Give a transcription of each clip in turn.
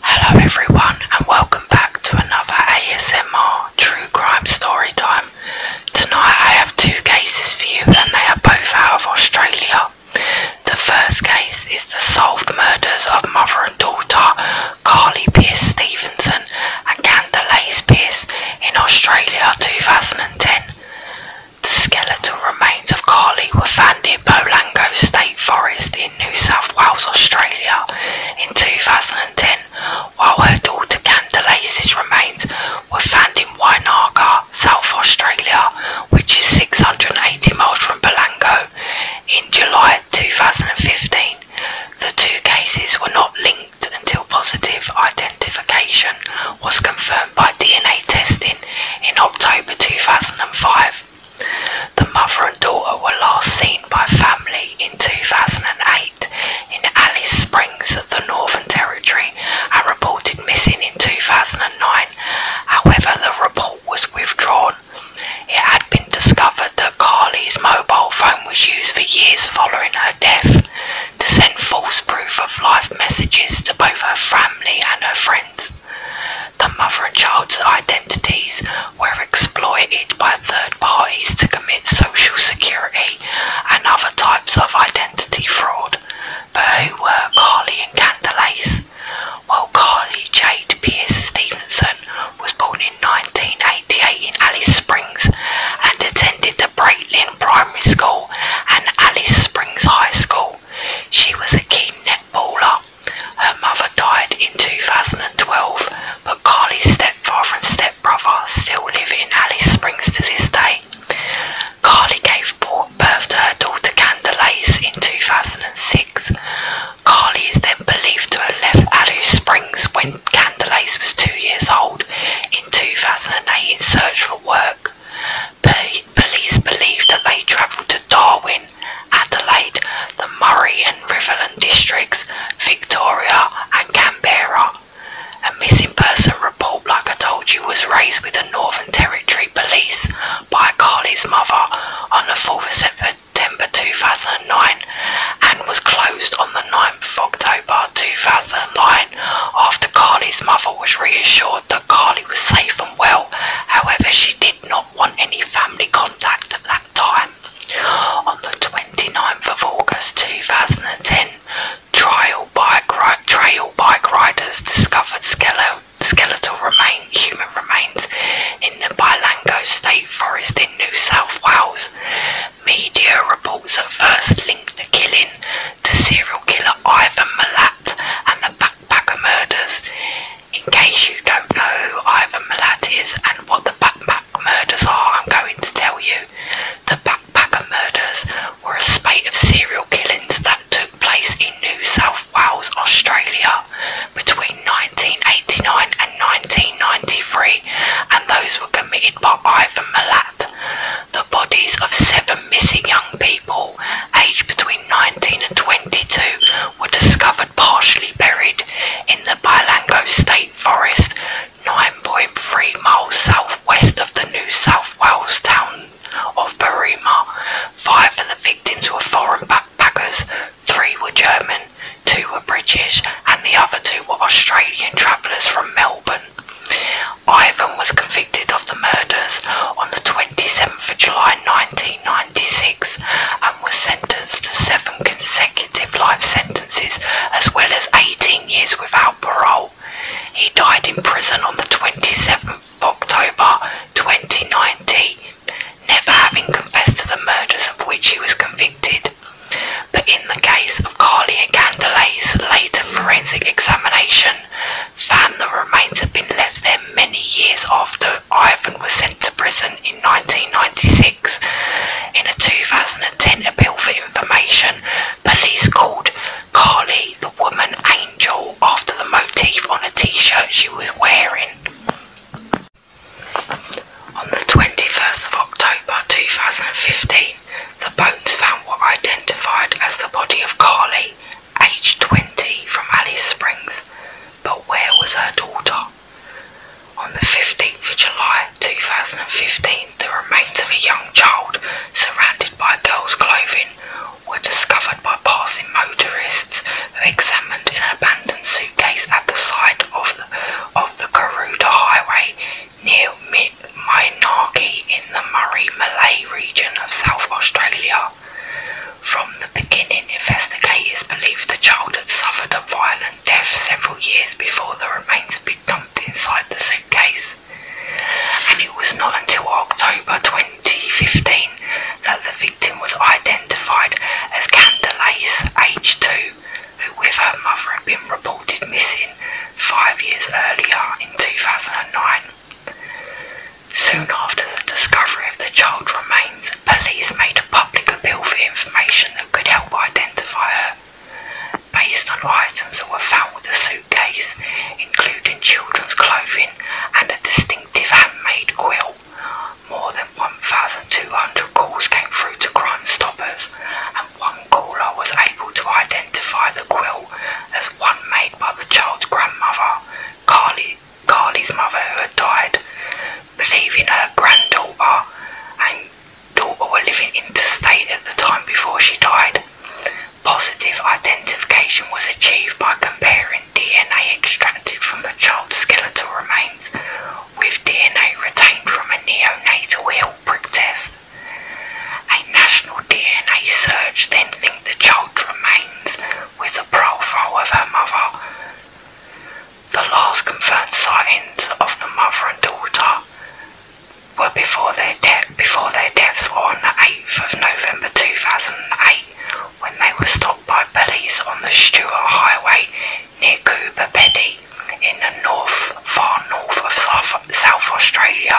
Hello everyone and welcome back to another ASMR True Crime Story Time. Tonight I have two cases for you and they are both out of Australia. The first case is the solved murders of mother and daughter Carly Pierce Stevenson and Candelace Pierce in Australia 2010. The skeletal remains of Carly were found in Bolango State Forest in New South Wales, Australia in 2010 while her daughter Candelace's remains were found in Wainaka, South Australia, which is 680 miles from Bolango. In July 2015, the two cases were not linked until positive identification was confirmed by DNA testing in October 2005. The mother and daughter were last seen by family in 2008 in Alice Springs of the Northern Territory and reported missing in 2009. However, the report was withdrawn. It had been discovered that Carly's mobile phone was used for years following her death to send false proof of life messages to both her family and her friends. The mother and child's identities were exploited by third parties to commit social security and other types of identity fraud. But who were Carly and Candelace? While Carly Jade Pierce Stevenson was born in 1988 in Alice Springs and attended the Braitlin Primary School and Alice Springs High School. She was a keen netballer. Her mother died in 2012, but Carly's stepfather and stepbrother still live in Alice Springs to this day. Carly gave birth to her daughter Candelace in 2006. Carly is then believed to have left Alice Springs when Candelace was two years old in 2008 in search for work. Police believe that they travelled to Darwin Adelaide, the Murray and Riverland districts, Victoria and Canberra. A missing person report, like I told you, was raised with the Northern Territory Police by Carly's mother on the 4th of September 2009 and was closed on the 9th of October 2009 after Carly's mother was reassured that Carly was safe and well. However, she did not want any family contact at that time. On the 29th of August 2010, trial bike trail bike riders discovered skeletal, skeletal human remains in the Bilango State Forest in New South Wales. Media reports at first linked the killing to serial killer Ivan Milat and the Backer Murders. In case you don't know who Ivan Milat is and what the Backpack Murders are, I'm going to tell you. The Backpacker Murders were a spate of serial killings that took place in New South Wales, Australia between 1989 and 1993 and those were committed by Ivan Milat. The bodies of seven missing young people aged between 19 and 22 were discovered partially buried in the Bilango State Forest, 9.3 miles southwest of the New South Wales town of Berrima. Five of the victims were foreign backpackers, three were German, two were British, and the other two were Australian travellers from Melbourne. Ivan was convicted of the murders on the 20 27th of July 1996 and was sentenced to seven consecutive life sentences as well as 18 years without parole. He died in prison on the 27th October 2019, never having confessed to the murders of which he was convicted. But in the case of Carly and Candelae's later forensic examination, found the remains had been left there many years after Ivan was sent to prison in 1996. In a 2010 appeal for information, police called Carly the woman angel after the motif on a t-shirt she was wearing. On the 21st of October 2015, the bones found were identified as the body of Carly, aged 20, from Alice Springs, but where was her daughter? On the 15th of July 2015, the remains of a young child surrounded by girls' clothing were discovered by passing motorists who examined an abandoned suitcase at the side of the, of the Karuda Highway near Mainaki in the Murray Malay region of South Australia. From the beginning, investigators believed the child had suffered a violent death several years before the remains were dumped inside the suitcase. And it was not until October 2015 that the victim was identified as Candelace, age two, who with her mother had been reported missing five years earlier in 2009. Soon after the discovery of the child's remains, police made a public appeal for information that could help identify her. Based on items that were found with the suitcase, including children's clothing and a distinctive handmade quill, more than 1,200 calls came through to Crime Stoppers, and one caller was able to identify the quill as one made by the child's grandmother, Carly Carly's mother, who had died, believing her granddaughter and daughter were living interstate at the time before she died. Positive identification was achieved by comparing DNA extracted from the child's skeletal remains with DNA retained from a neonatal heel prick test. A national DNA search then linked the child's remains with the profile of her mother. The last confirmed sightings of the mother and daughter were before their death before their deaths were on the 8th of November 2008 when they were stopped by police on the Stuart Highway near Coober Pedy in the north far north of South Australia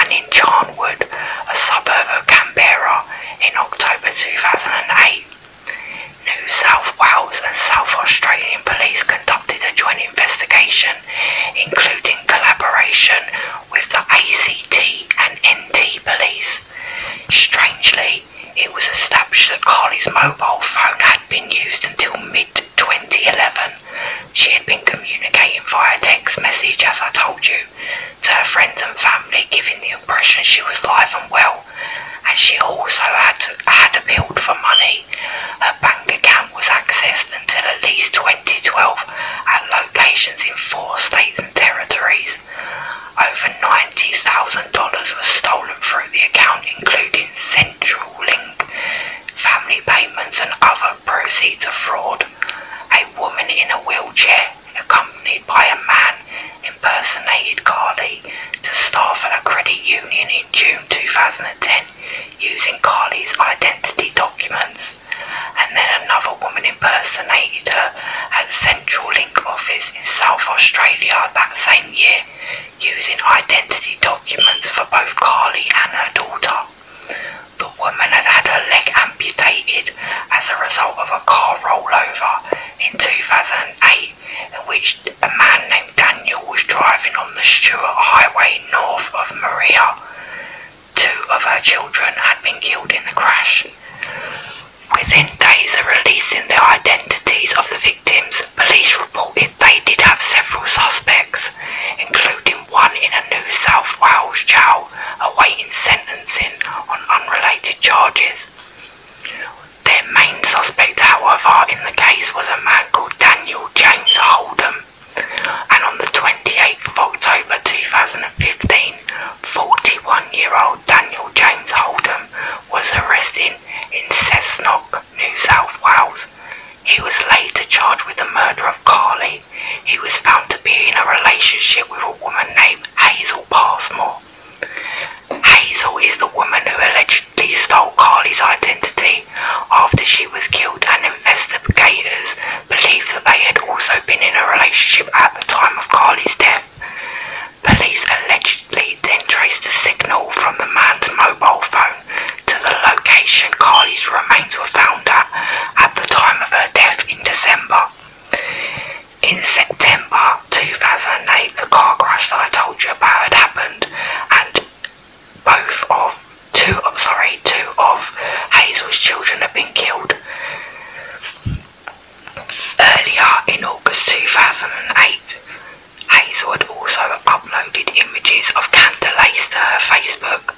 and in Charnwood, a suburb of Canberra in October 2008. New South Wales and South Australian police conducted a joint investigation, including collaboration with the ACT and NT police. Strangely, it was established that Carly's mobile phone had been used until mid 2011. She had been communicating via text message, as I told you, to her friends and family, giving the impression she was alive and well. And she also had, had appealed for money. Her bank account was accessed until at least 2012 at locations in four states and territories. Over $90,000 was stolen through the account, including Central Link, family payments, and other proceeds of fraud. A woman in a wheelchair accompanied by a man impersonated Carly to staff a credit union in June 2010 using Carly's identity documents and then another woman impersonated her at Central Link office in South Australia that same year using identity documents for both Carly and her daughter. The woman had had her leg amputated as a result of a car rollover in 2008 in which a man named Daniel was driving on the Stuart Highway north of Maria. Two of her children had been killed in the crash. Within days of releasing the identities of the victims, police reported they did have several suspects, including one in a New South Wales jail awaiting sentencing on unrelated charges. Their main suspect, however, in the case was a man called Daniel James Holdham, and on the 28th of October 2015, 41-year-old Daniel James Holdham was arrested in Cessnock, New South Wales. He was later charged with the murder of Carly. He was found to be in a relationship with a woman named Hazel Hazel Passmore. Hazel is the woman who allegedly stole Carly's identity after she was killed and investigators believe that they had also been in a relationship at the time of Carly's death. Police allegedly then traced a signal from the man's mobile phone to the location Carly's remains were found at at the time of her death in December in September 2008, the car crash that I told you about had happened, and both of two, sorry, two of Hazel's children had been killed. Earlier in August 2008, Hazel had also uploaded images of Candace to her Facebook.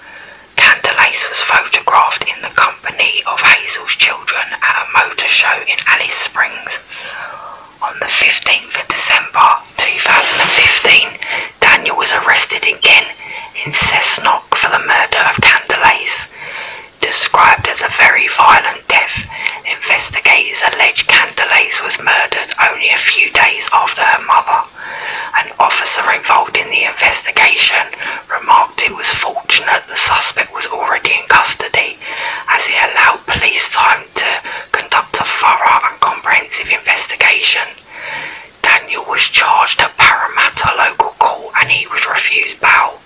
Candace was photographed in the car company of Hazel's children at a motor show in Alice Springs. On the 15th of December 2015, Daniel was arrested again in Cessnock for the murder of Candelace. Described as a very violent death, investigators allege Candelace was murdered only a few days after her mother. An officer involved in the investigation remarked it was fortunate the suspect was already in custody, as he allowed police time to conduct a thorough and comprehensive investigation. Daniel was charged at Parramatta Local Court and he was refused bail.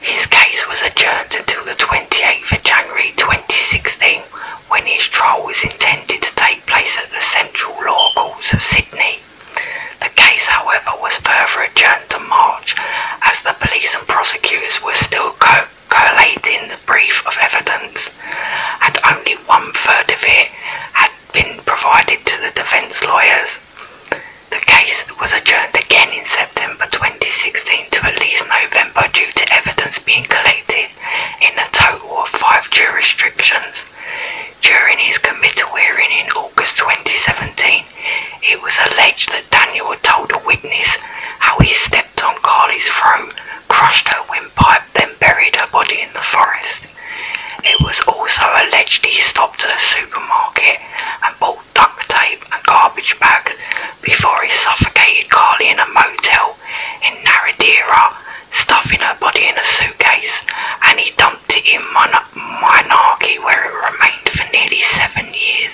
His case was adjourned until the 28th of January 2016 when his trial was intended to take place at the Central Law Courts of Sydney. The case, however, was further adjourned to March as the police and prosecutors were still collating the brief of evidence and only one third of it had been provided to the defence lawyers. The case was adjourned again in September 2016 to at least November due to evidence being collected in a total of five jurisdictions. During his committal hearing in August 2017, it was alleged that Daniel told a witness how he stepped on Carly's throat, crushed her windpipe, then buried her body in the forest. It was also alleged he stopped at a supermarket and bought duct tape and garbage bags before he suffocated Carly in a motel in Naradira, stuffing her body in a suitcase, and he dumped a monarchy where it remained for nearly seven years.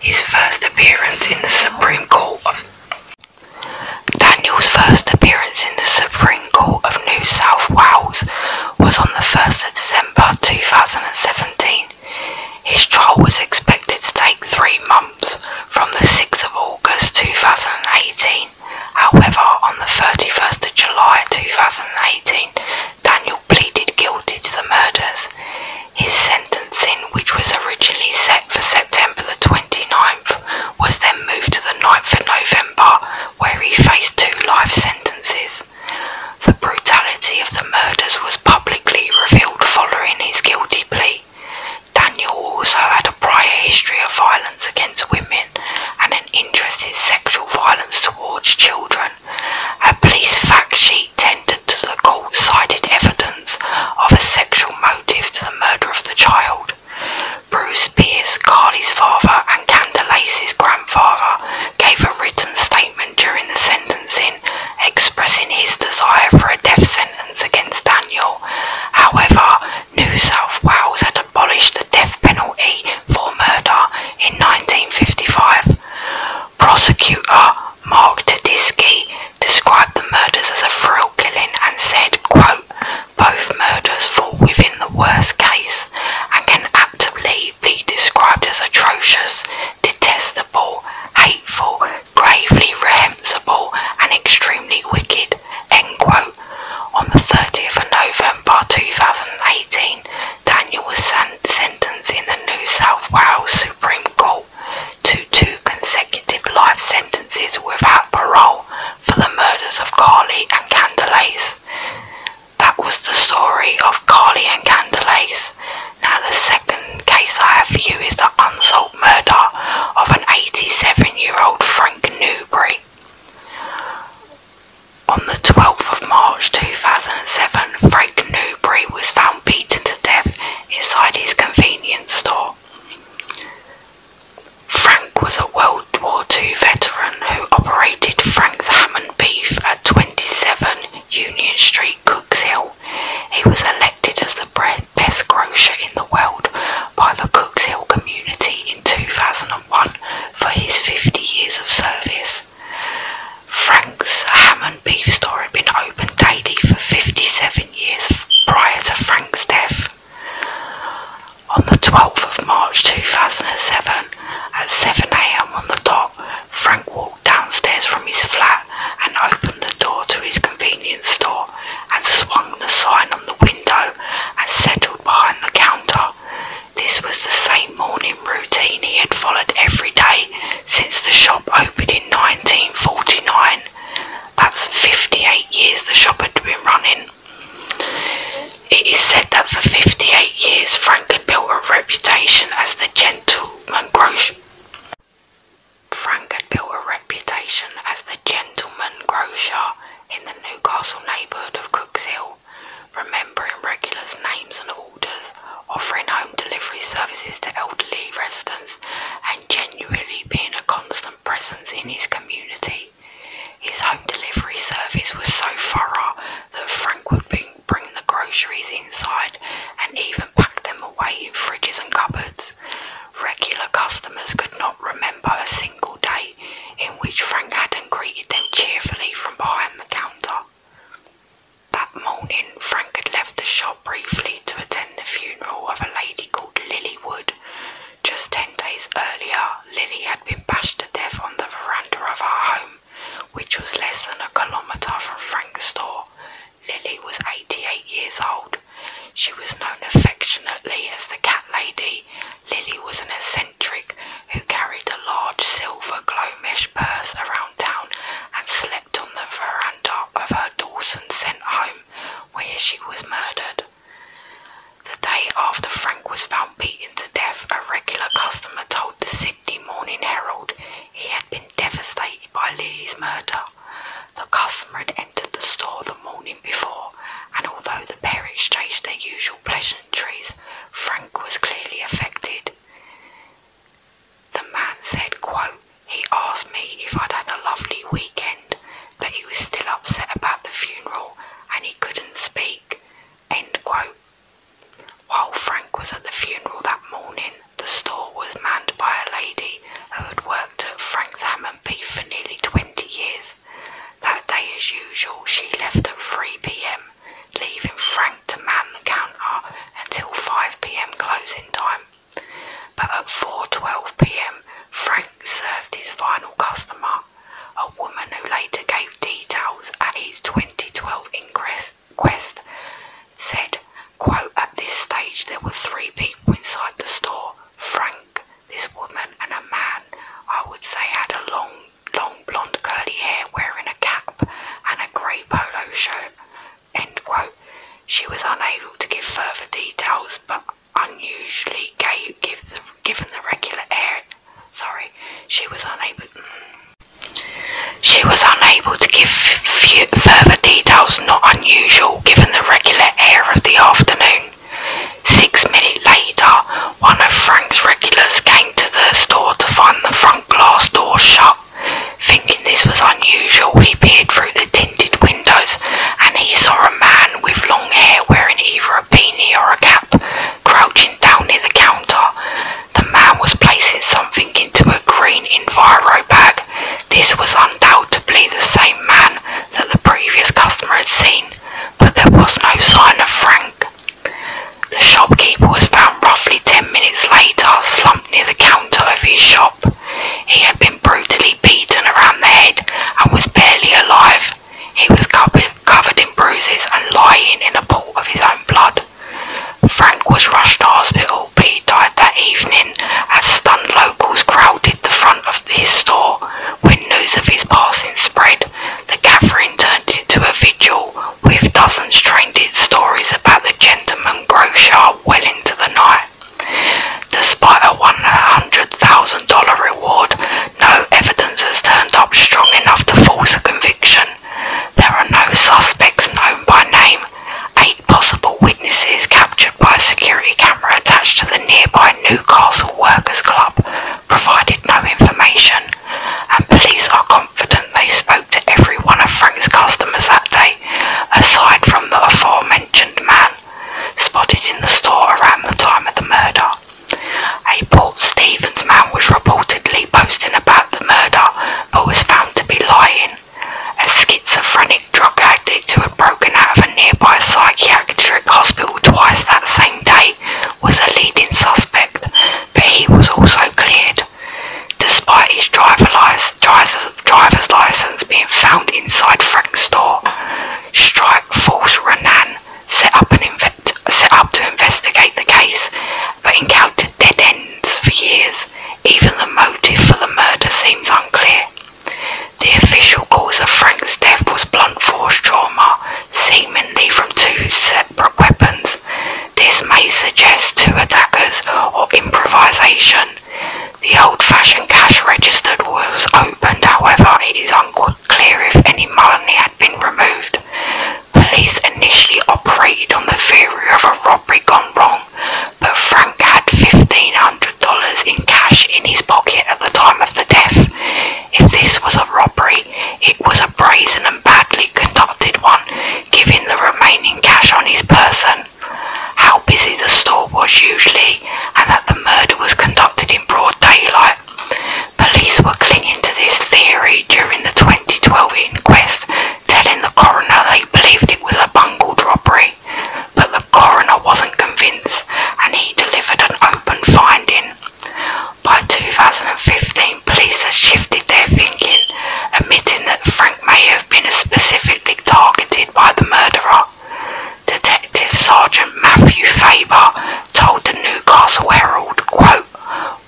His first appearance in the Supreme Court of Daniel's first appearance in the Supreme Court of New South Wales was on the 1st of December 2017. His trial was expected to take three months from the 6th of August 2018. However, on the 31st of July 2018, Daniel pleaded guilty to the murders. His sentencing, which was originally set for September the 29th, was then moved to the 9th of November, where he faced two life sentences. The brutality of the murders was publicly revealed following his guilty plea. Daniel also had a prior history of violence against women and an interest in sexual violence towards children. A police fact sheet tendered to the court cited evidence of a sexual motive to the murder of the child. Bruce Pierce, Carly's father, and Candelace's grandfather gave a written statement during the sentencing expressing his desire for a death sentence against Daniel. However, New South Wales had abolished the death penalty for murder in 1955. Prosecutor Mark Tedeschi described the murders as a thrill killing and said, quote, both murders fall within the worst case and can aptly be described as atrocious, detestable, hateful, gravely reprehensible and extremely wicked, end quote. On the 30th of November 2018, Daniel was sentenced in the New South Wales Supreme Court to two consecutive life sentences without parole for the murders of Carly and Candelace. That was the story of Carly and Candelace. Now the second case I have for you is the unsolved murder of an 87-year-old Frank Newbury. On the 12th of March 2007, Frank Newbury was found beaten to death inside his convenience store. Frank was a World War II veteran who operated Frank's Ham and Beef at 27 Union Street, Cooks He was elected as the best grocer in the world by the Cooks community in 2008. 2001 for his 50 years of service. Frank's ham and beef store had been open daily for 57 years prior to Frank's death. On the 12th of March 2007, at 7am on the dot, Frank walked downstairs from his flat and opened the door to his convenience store and swung the sign on the window and settled behind the counter, this was the same morning routine he had followed every day since the shop opened in 1949. That's 58 years the shop had been running. It is said that for 58 years Frank had built a reputation as the gentleman grocer. Frank had built a reputation as the gentleman grocer in the Newcastle neighbourhood of Cooks Hill remembering regulars' names and orders, offering home delivery services to elderly residents, and genuinely being a constant presence in his community. His home delivery service was so thorough that Frank would bring the groceries inside and even pack them away in fridges and cupboards. Regular customers could not remember a single date in which Frank Adam greeted them cheerfully from behind the counter. That morning, Frank had left the shop briefly to attend the funeral of a lady called Lily Wood. Just ten days earlier, Lily had been bashed to death on the veranda of our home, which was less than a kilometre from Frank's store. Lily was 88 years old. She was known affectionately as the Cat Lady Lily was an eccentric who carried a large silver glow mesh purse around town and slept on the veranda of her Dawson sent home where she was murdered. The day after Frank was found beaten to death, a regular customer told the Sydney Morning Herald he had been devastated by Lily's murder. The customer had entered the store the morning before, and although the pair exchanged their usual pleasure, Frank was clearly affected. The man said, quote, he asked me if I'd had a lovely weekend, but he was still upset about the funeral and he couldn't speak. End quote. While Frank was at the funeral that morning, the store was manned by a lady who had worked at Frank's Ham and Beef for nearly 20 years. That day, as usual, she left at 3 pm leaving Frank to man the counter until 5pm closing time. But at 4.12pm, Frank served his final customer, a woman who later gave details at his 2012 inquest, said, quote, at this stage there were three people inside the store, Frank, this woman and a man I would say had a long long blonde curly hair wearing a cap and a grey polo shirt. She was unable to give further details, but unusually gave, given the regular air. Sorry, she was unable. She was unable to give further details, not unusual given the regular air of the afternoon. Six minutes later, one of Frank's regulars came to the store to find the front glass door shut. Thinking this was unusual, he peered through the tinted windows and he saw a man with long hair wearing either a beanie or a cap crouching down near the counter. The man was placing something into a green Enviro bag. This was undoubtedly the same man that the previous customer had seen, but there was no sign of Frank. The shopkeeper was found roughly ten minutes later, slumped near the counter of his shop. He had been brutally beaten around the head and was barely alive. He was covered in bruises and lying in a pool of his own blood. Frank was rushed to hospital, but he died that evening as stunned locals crowded the front of his store windows of his passing spread. The gathering turned into a vigil with dozens trending stories about the gentleman grocer well into the night. Despite a $100,000 reward, no evidence has turned up strong enough to force a conviction. There are no suspects known by name, eight possible witnesses captured by a security camera attached to the nearby Newcastle Workers Club provided no information, and police are confident they spoke to every one of Frank's customers that day, aside from the aforementioned man spotted in the store around the time of the murder. A Port Stevens man was reportedly boasting about the murder but was found to be lying. A schizophrenic drug addict who had broken out of a nearby psychiatric hospital twice that same day was a leading suspect, but he was also cleared, despite his driver driver's license being found inside Frank's store. Strike Force Renan set up, an set up to investigate the case, but encountered dead ends for years. Even the motive for the murder seems unclear. The official cause of Frank's death was blunt force trauma seemingly from two separate weapons. This may suggest two attackers or improvisation. The old-fashioned cash register was opened, however, it is unclear if any money had been removed. Police initially operated on the theory of a robbery gone wrong, but Frank had $1,500 in cash in his pocket at the time of the death. If this was a robbery, it was a brazen and badly conducted one, giving the remaining cash on his person. How busy the store was usually, and that the murder was conducted in broad daylight. Police were clinging to this theory during the 2012 inquest, telling the coroner they believed it was a bungled robbery. But the coroner wasn't convinced, and he delivered an open finding. By 2015, police have shifted their thinking, admitting that Frank may have been specifically targeted by the murderer. Detective Sergeant Matthew Faber told the Newcastle Herald, quote,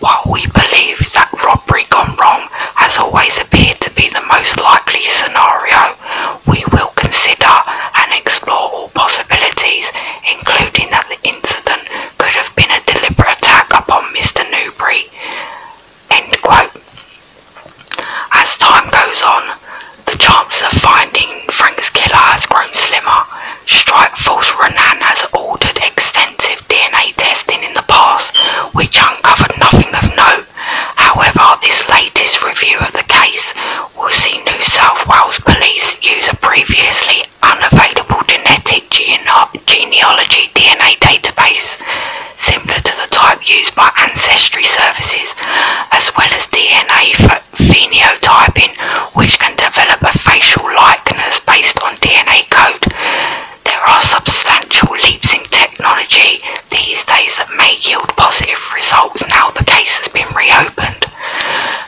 While we believe that robbery gone wrong has always appeared to be the most likely scenario, we will consider and explore all possibilities, including that the incident could have been a deliberate attack upon Mr. Newbury. End quote. As time goes on, the chance of finding Frank's killer has grown slimmer. Strike Force Renan has ordered extensive DNA testing in the past, which uncovered nothing of note. However, this latest review of the case will see New South Wales police use a previously unavailable genetic genealogy, DNA database, similar to the type used by Ancestry Services, as well as DNA phenotyping, which can develop a facial likeness based on DNA code. There are substantial leaps in technology these days that may yield positive results now the case has been reopened.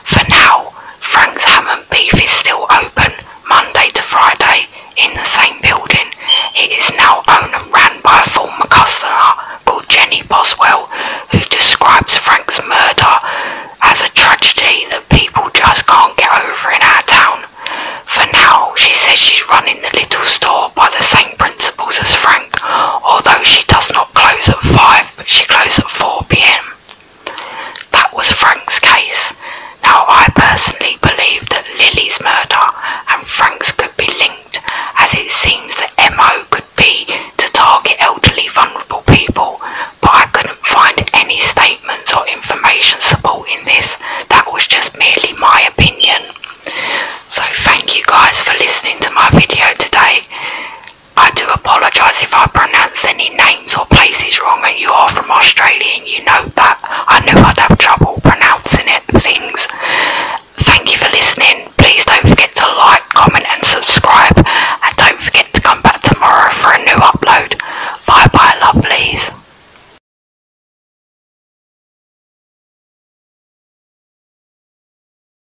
For now, Frank's Ham and Beef is still open Monday to Friday in the same building. It is now owned and run by a former customer called Jenny Boswell, who describes Frank's murder as a tragedy that people just can't get over in our town. For now, she says she's running the little store by the same principles as Frank, although she does not close at 5, but she closes at 4 pm. That was Frank's case. Now, I personally believe that Lily's murder and Frank's could be linked, as it seems that MO could be to target elderly, vulnerable people, but I couldn't find any statements or information supporting this. That was just merely my opinion. So, thank you guys for listening to my video today. I do apologise if I pronounce any names or places wrong, and you are from Australia and you know that. I knew I'd have trouble pronouncing it, things. Thank you for listening. Please don't forget to like, comment, and subscribe. And don't forget to come back tomorrow for a new upload. Bye bye, lovelies.